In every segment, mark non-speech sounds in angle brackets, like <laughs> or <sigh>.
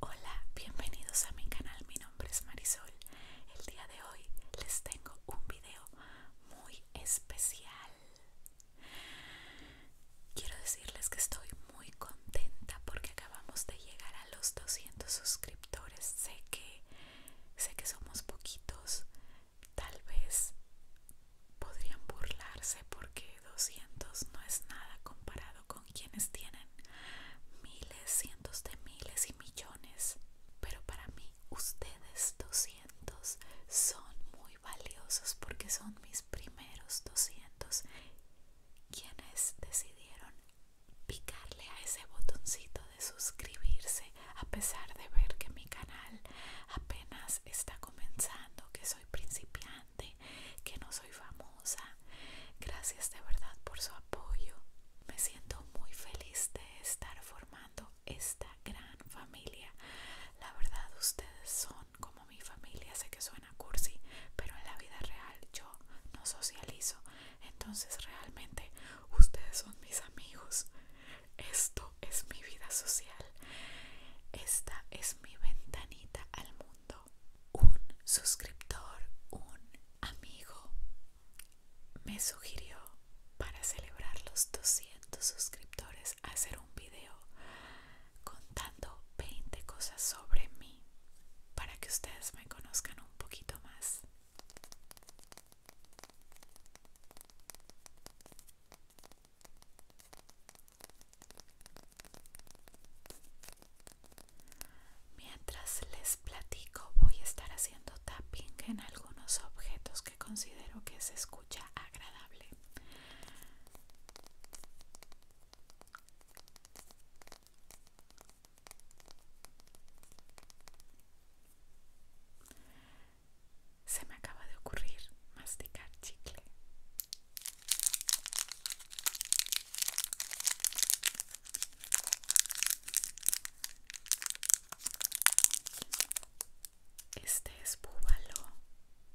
Hola, bienvenidos a mi canal, mi nombre es Marisol. El día de hoy les tengo un video muy especial. Quiero decirles que estoy muy contenta porque acabamos de llegar a los 200 suscriptores. Sé que Sé que somos poquitos, tal vez podrían burlarse porque 200 no es nada comparado con quienes tienen miles, cientos de miles y millones. Pero para mí ustedes 200 son muy valiosos porque son mis primeros 200 quienes decidieron picarle a ese botoncito de suscribirse a pesar de ver que mi canal apenas está comenzando, que soy principiante, que no soy famosa. Gracias de verdad por su apoyo. Me siento muy feliz de estar formando esta gran familia. La verdad ustedes son como mi familia. Sé que suena cursi, pero en la vida real yo no socializo entonces realmente ustedes son mis amigos. Esto es mi vida social. Esta es mi ventanita al mundo. Un suscriptor, un amigo me sugirió para celebrar los 200 suscriptores hacer un video contando 20 cosas sobre mí para que ustedes me conozcan un poquito más. Mientras les platico voy a estar haciendo tapping en algunos objetos que considero que se escucha agradable. Se me acaba de ocurrir masticar chicle. Este es búbalo.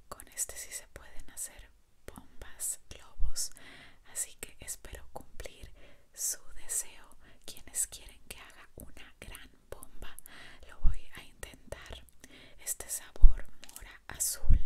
Con este sí se pueden hacer bombas, globos. Así que espero cumplir su deseo quienes quieren que haga una gran bomba lo voy a intentar este sabor mora azul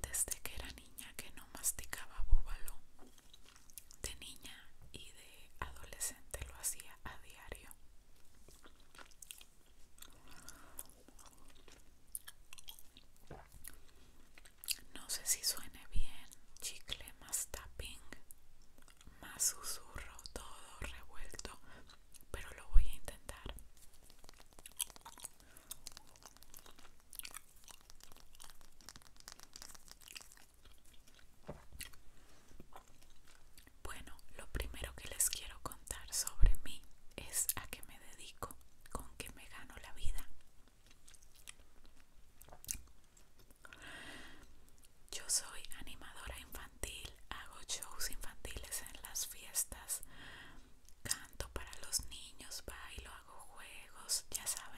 desde que era niña que no masticaba búbalo, de niña y de adolescente lo hacía a diario. No sé si suene bien, chicle más tapping, más susurro, todo revuelto, pero lo voy a intentar. Bueno, lo primero que les quiero contar sobre mí es a qué me dedico, con qué me gano la vida. Yo soy animadora infantil, hago shows infantiles en las fiestas, canto para los niños, bailo, hago juegos, ya saben.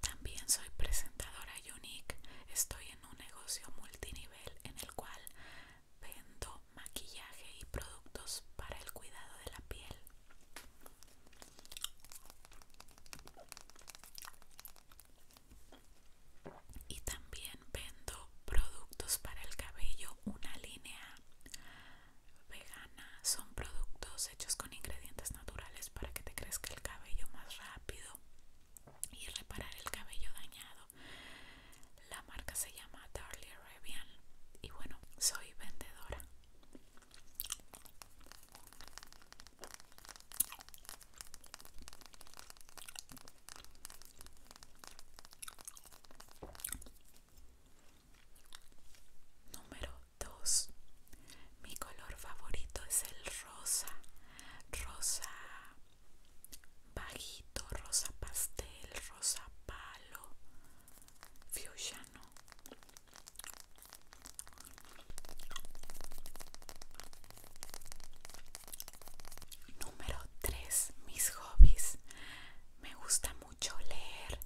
También soy presentadora Unique. Estoy en un negocio multinivel en el cual vendo maquillaje y productos para el cuidado de la piel. Y también vendo productos para el cabello, una línea vegana. Son productos hechos con ingredientes naturales para que te crezca el cabello más rápido y reparar el cabello dañado. La marca se llama Darlie Arabian y bueno, soy vendedora. Número 2 mi color favorito es el rosa, rosa bajito, rosa pastel, rosa palo, fucsia Número 3. Mis hobbies. Me gusta mucho leer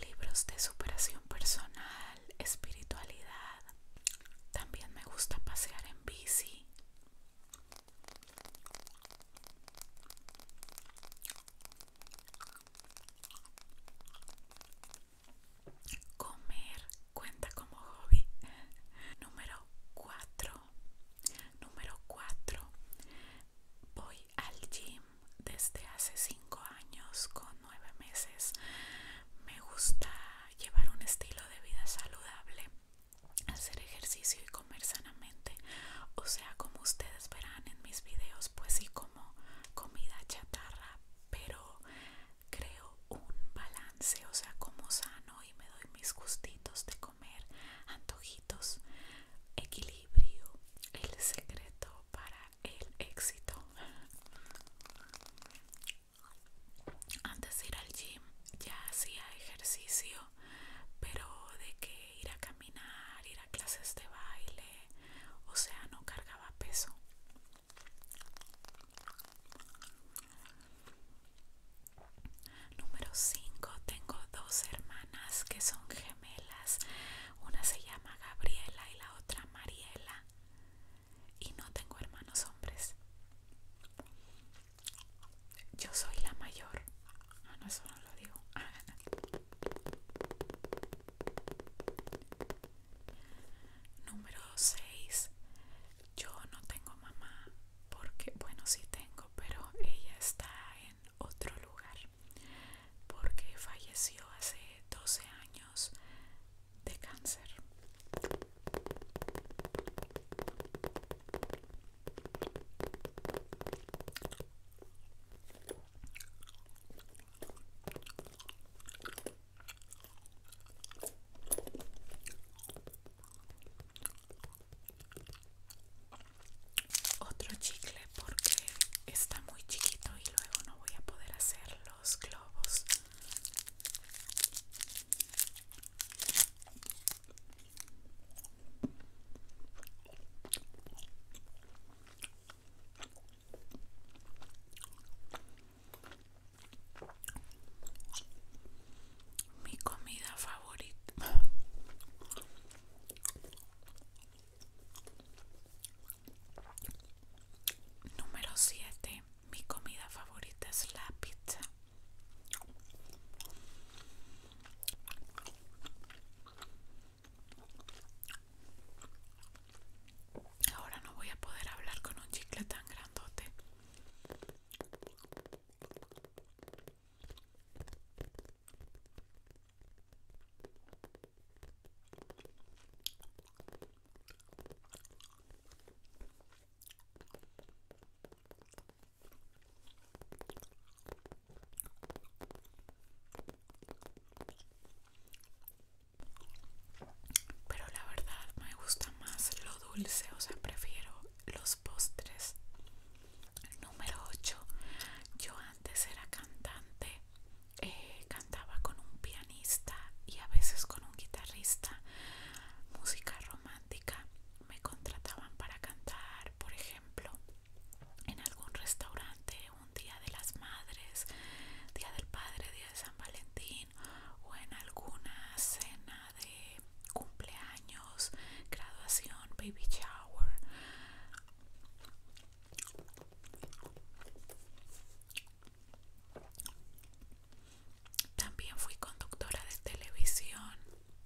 libros de superación personal espiritualidad. También me gusta pasear en bici. Comer cuenta como hobby. Número 4. Número 4. Voy al gym desde hace 5 años con nueve meses. Me gusta llevar un estilo de vida saludable, hacer ejercicio y comer sanamente. O sea, como ustedes verán en mis videos, pues sí como comida chatarra, pero creo un balance, o sea, como sano y me doy mis gustitos de comer, antojitos, equilibrio, el secreto para el éxito antes de ir al gym ya hacía ejercicio, pero de que ir a caminar, ir a clases de baile, o sea, no cargaba peso. Número 5. Tengo dos hermanas que son gemelas. Una se llama Gabriela y la otra Mariela y no tengo hermanos hombres. Yo soy la mayor. Ah, no, eso lo digo. <laughs> Número 6. Yo no tengo mamá porque, bueno, sí tengo, pero ella está en otro lugar porque falleció hace 12 años de cáncer. Otro chicle porque está muy chiquito y luego no voy a poder hacer los globos mi comida favorita. Número siete mi comida favorita es la pizza. Ahora no voy a poder hablar con un chicle tan grandote. Pero la verdad me gusta más lo dulce, o sea, prefiero los postres. Número 8. Yo antes era cantante, eh, cantaba con un piano y a veces con un guitarrista, música romántica. Me contrataban para cantar, por ejemplo, en algún restaurante un día de las madres, día del padre, día de San Valentín o en alguna cena de cumpleaños, graduación, baby shower. También fui conductora de televisión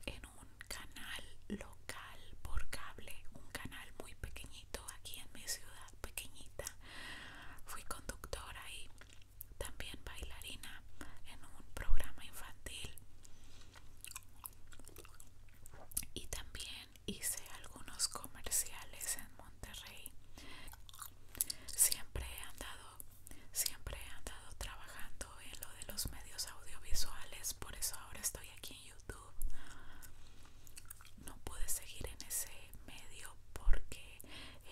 en un canal local por cable, un canal muy pequeñito aquí en mi ciudad, pequeñita. Fui conductora y también bailarina en un programa infantil. Y también hice algunos comerciales en Monterrey. Siempre he andado, siempre he andado trabajando en lo de los medios audiovisuales, por eso ahora estoy aquí en YouTube. No pude seguir en ese medio porque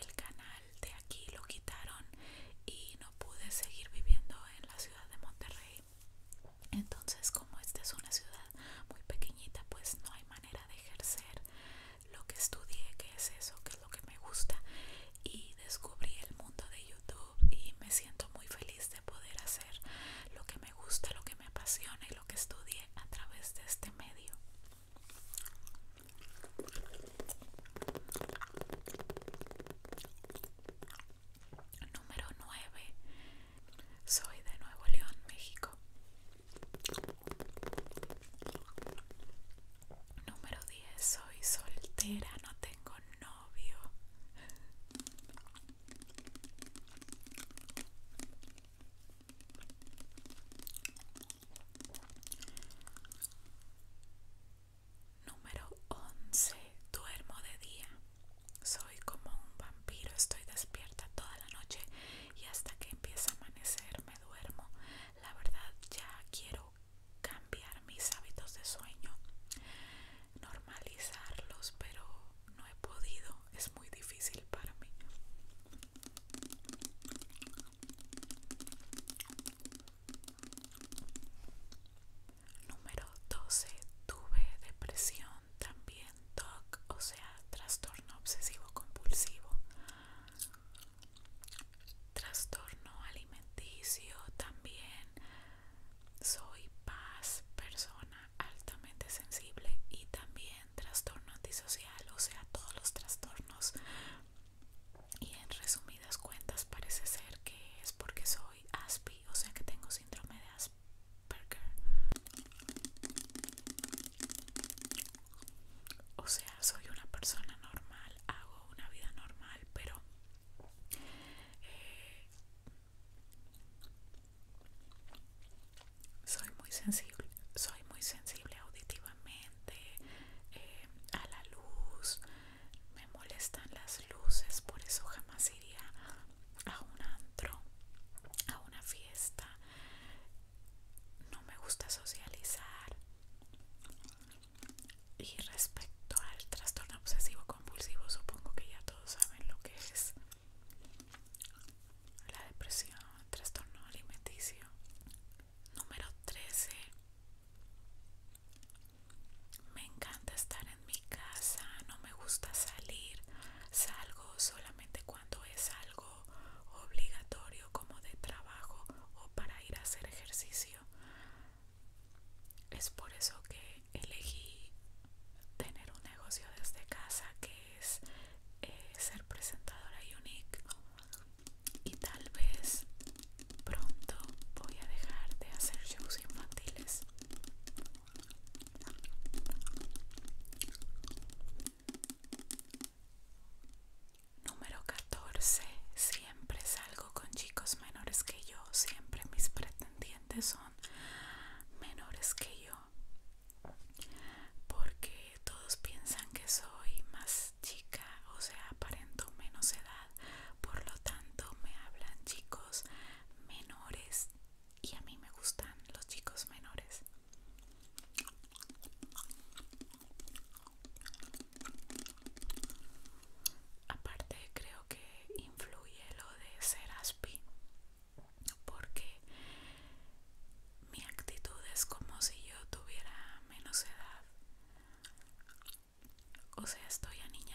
el canal de aquí lo quitaron y no pude seguir viviendo en la ciudad de Monterrey. Entonces, como esta es una ciudad muy pequeñita, pues no hay manera de ejercer lo que estudié, qué es eso, qué es lo que me gusta y descubrí el mundo de YouTube y me siento muy feliz de poder hacer lo que me gusta, lo que me apasiona y lo que estudié a través de este medio. Número 9. Soy de Nuevo León, México. Número 10. Soy soltera, no tengo novio. Número 11. Duermo de día. Soy como un vampiro, estoy despierta toda la noche y hasta que empieza a amanecerme duermo. La verdad ya quiero cambiar mis hábitos de sueño, normalizarlos, pero no he podido. Es muy difícil para mí. Número 12. Tuve depresión también, TOC, o sea, trastorno obsesivo compulsivo trastorno alimenticio también soy paz persona altamente sensible y también trastorno antisocial o sea todos los trastornos y en resumidas cuentas parece ser que es porque soy ASPI o sea que tengo síndrome de Asperger o sea, soy una persona normal, hago una vida normal, pero eh, soy muy sensible, soy muy sensible auditivamente eh, a la luz, me molestan las luces, por eso jamás iría a un antro, a una fiesta no me gusta socializar. Y respecto al trastorno obsesivo compulsivo, supongo que ya todos saben lo que es la depresión, trastorno alimenticio. Número 13. Me encanta estar en mi casa, no me gusta salir. Salgo solamente cuando es algo obligatorio como de trabajo o para ir a hacer ejercicio. Es por eso que elegí tener un negocio desde casa que es eh, ser presentadora unique y tal vez pronto voy a dejar de hacer shows infantiles Número 14. Siempre salgo con chicos menores que yo. Siempre mis pretendientes son menores que yo. Porque todos piensan que soy más chica, o sea, aparento menos edad. Por lo tanto, me hablan chicos menores y a mí me gustan los chicos menores. Aparte creo que influye lo de ser aspi, porque mi actitud es como si yo tuviera menos edad. O sea, estoy aniñada.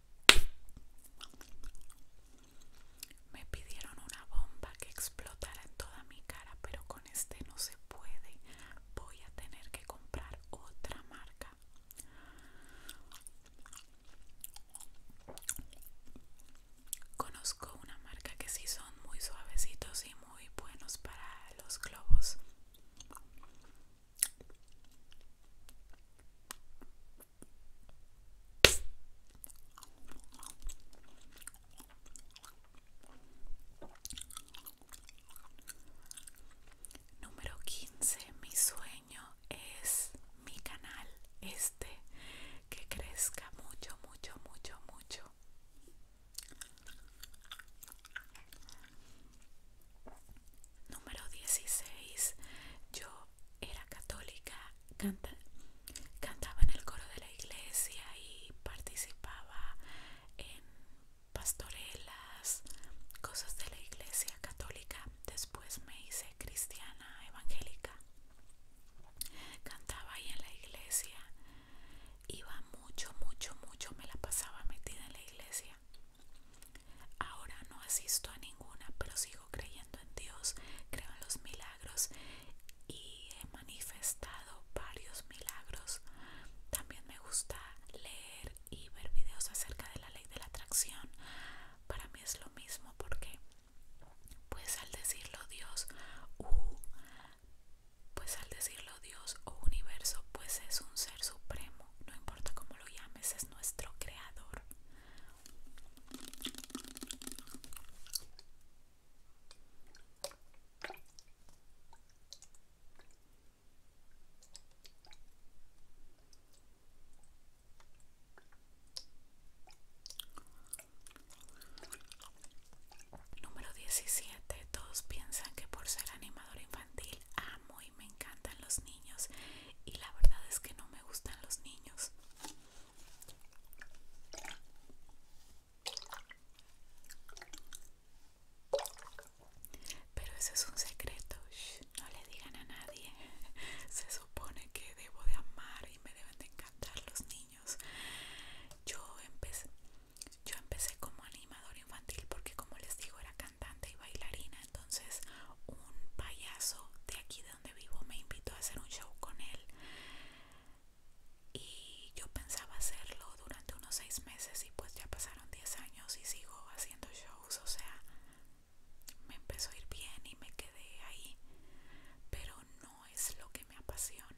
Me pidieron una bomba que explotara en toda mi cara, pero con este no se puede. Voy a tener que comprar otra marca. Conozco una marca que sí son muy suavecitos y muy buenos para los globos. Número 15. Mi sueño es mi canal este que crezca mucho, mucho, mucho, mucho. Número 16. Yo era católica, cantaba en el coro de la iglesia y participaba en pastorelas, cosas de la iglesia católica. Después me hice cristiana evangélica. Cantaba ahí en la iglesia. Iba mucho, mucho, mucho, me la pasaba metida en la iglesia. Ahora no asisto a ninguna, pero sigo creyendo en Dios, creo en los milagros y he manifestado varios milagros. También me gusta leer y ver videos acerca de la ley de la atracción. Para mí es lo mismo porque, pues al decirlo Dios, pues al decirlo Dios o universo, pues es un ser supremo, no importa cómo lo llames, es nuestro creador. Número 17. Todos piensan que por ser animador infantil amo y me encantan los niños y la verdad es que no me me gustan los niños. Pero eso es un secreto, no le digan a nadie. <laughs> Se supone que debo de amar y me deben de encantar los niños. Yo empecé, yo empecé como animador infantil porque como les digo era cantante y bailarina. Entonces un payaso de aquí de donde vivo me invitó a hacer un show con él y yo pensaba hacerlo durante unos seis meses y pues ya pasaron diez años y sigo haciendo shows, o sea, me empezó a ir bien y me quedé ahí, pero no es lo que me apasiona.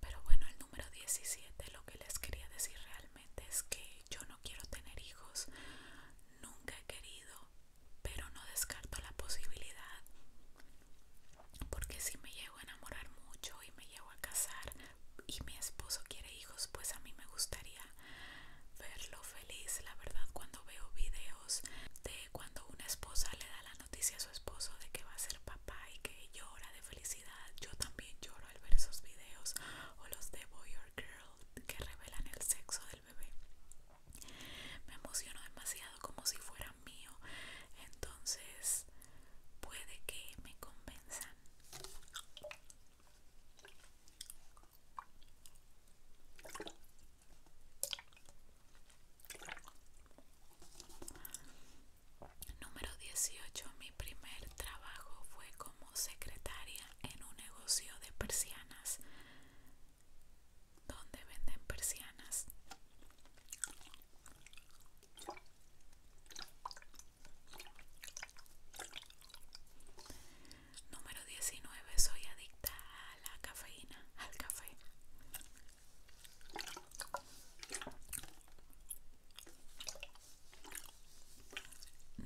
Pero bueno, el número 17 lo que les quería decir realmente es que yo no quiero tener hijos, nunca he querido, pero no descarto la posibilidad. Porque si me llego a enamorar mucho y me llego a casar y mi esposo quiere hijos, pues a mí me gustaría verlo feliz, la verdad, cuando veo videos de cuando una esposa le da la noticia a su esposo de que va a ser papá y que llora de felicidad, yo también lloro al ver esos videos o los de Boy or Girl que revelan el sexo del bebé. Me emociono demasiado como si fuera mío, entonces puede que me convenzan. Número 18. Mi primer trabajo fue como secretaria en un negocio de persianas donde venden persianas. Número 19. Soy adicta a la cafeína, al café.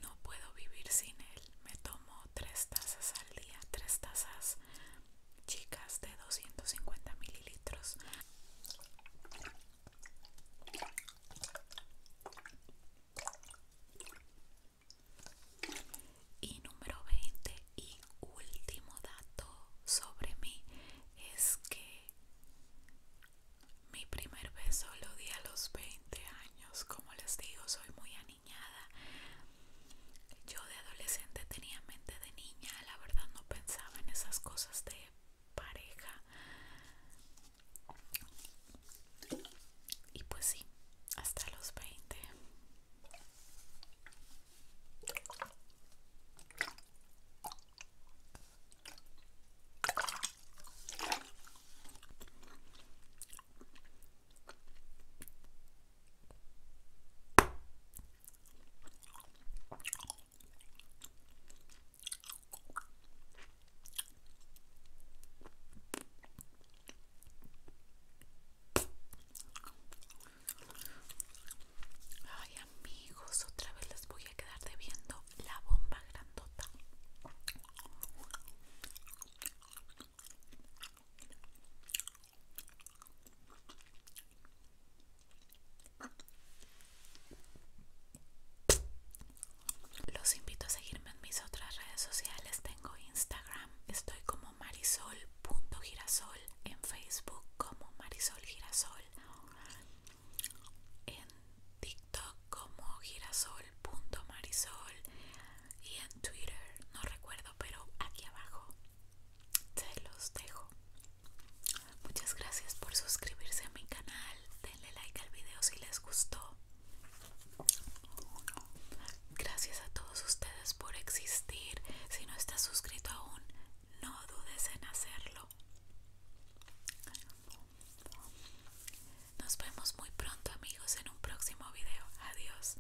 No puedo vivir sin él. Me tomo tres tazas al día, tres tazas chicas de 250 mililitros. Y número 20 y último dato sobre mí es que mi primer beso lo di a los 20 años. Como les digo, soy muy aniñada. Yo de adolescente tenía mente de niña, la verdad no pensaba en esas cosas de pareja. Y pues sí, hasta los 20. Ay amigos, otra vez les voy a quedar debiendo la bomba grandota. Los invito a seguirme en mis otras redes sociales. Tengo Instagram, estoy como marisol.girasol, en Facebook como Marisol Girasol, en TikTok como girasol.marisol y en Twitter, no recuerdo, pero aquí abajo se los dejo. Muchas gracias por suscribirse a mi canal, denle like al video si les gustó Gracias a todos ustedes por existir. Si no estás suscrito aún, no dudes en hacerlo. Nos vemos muy pronto amigos en un próximo video. Adiós.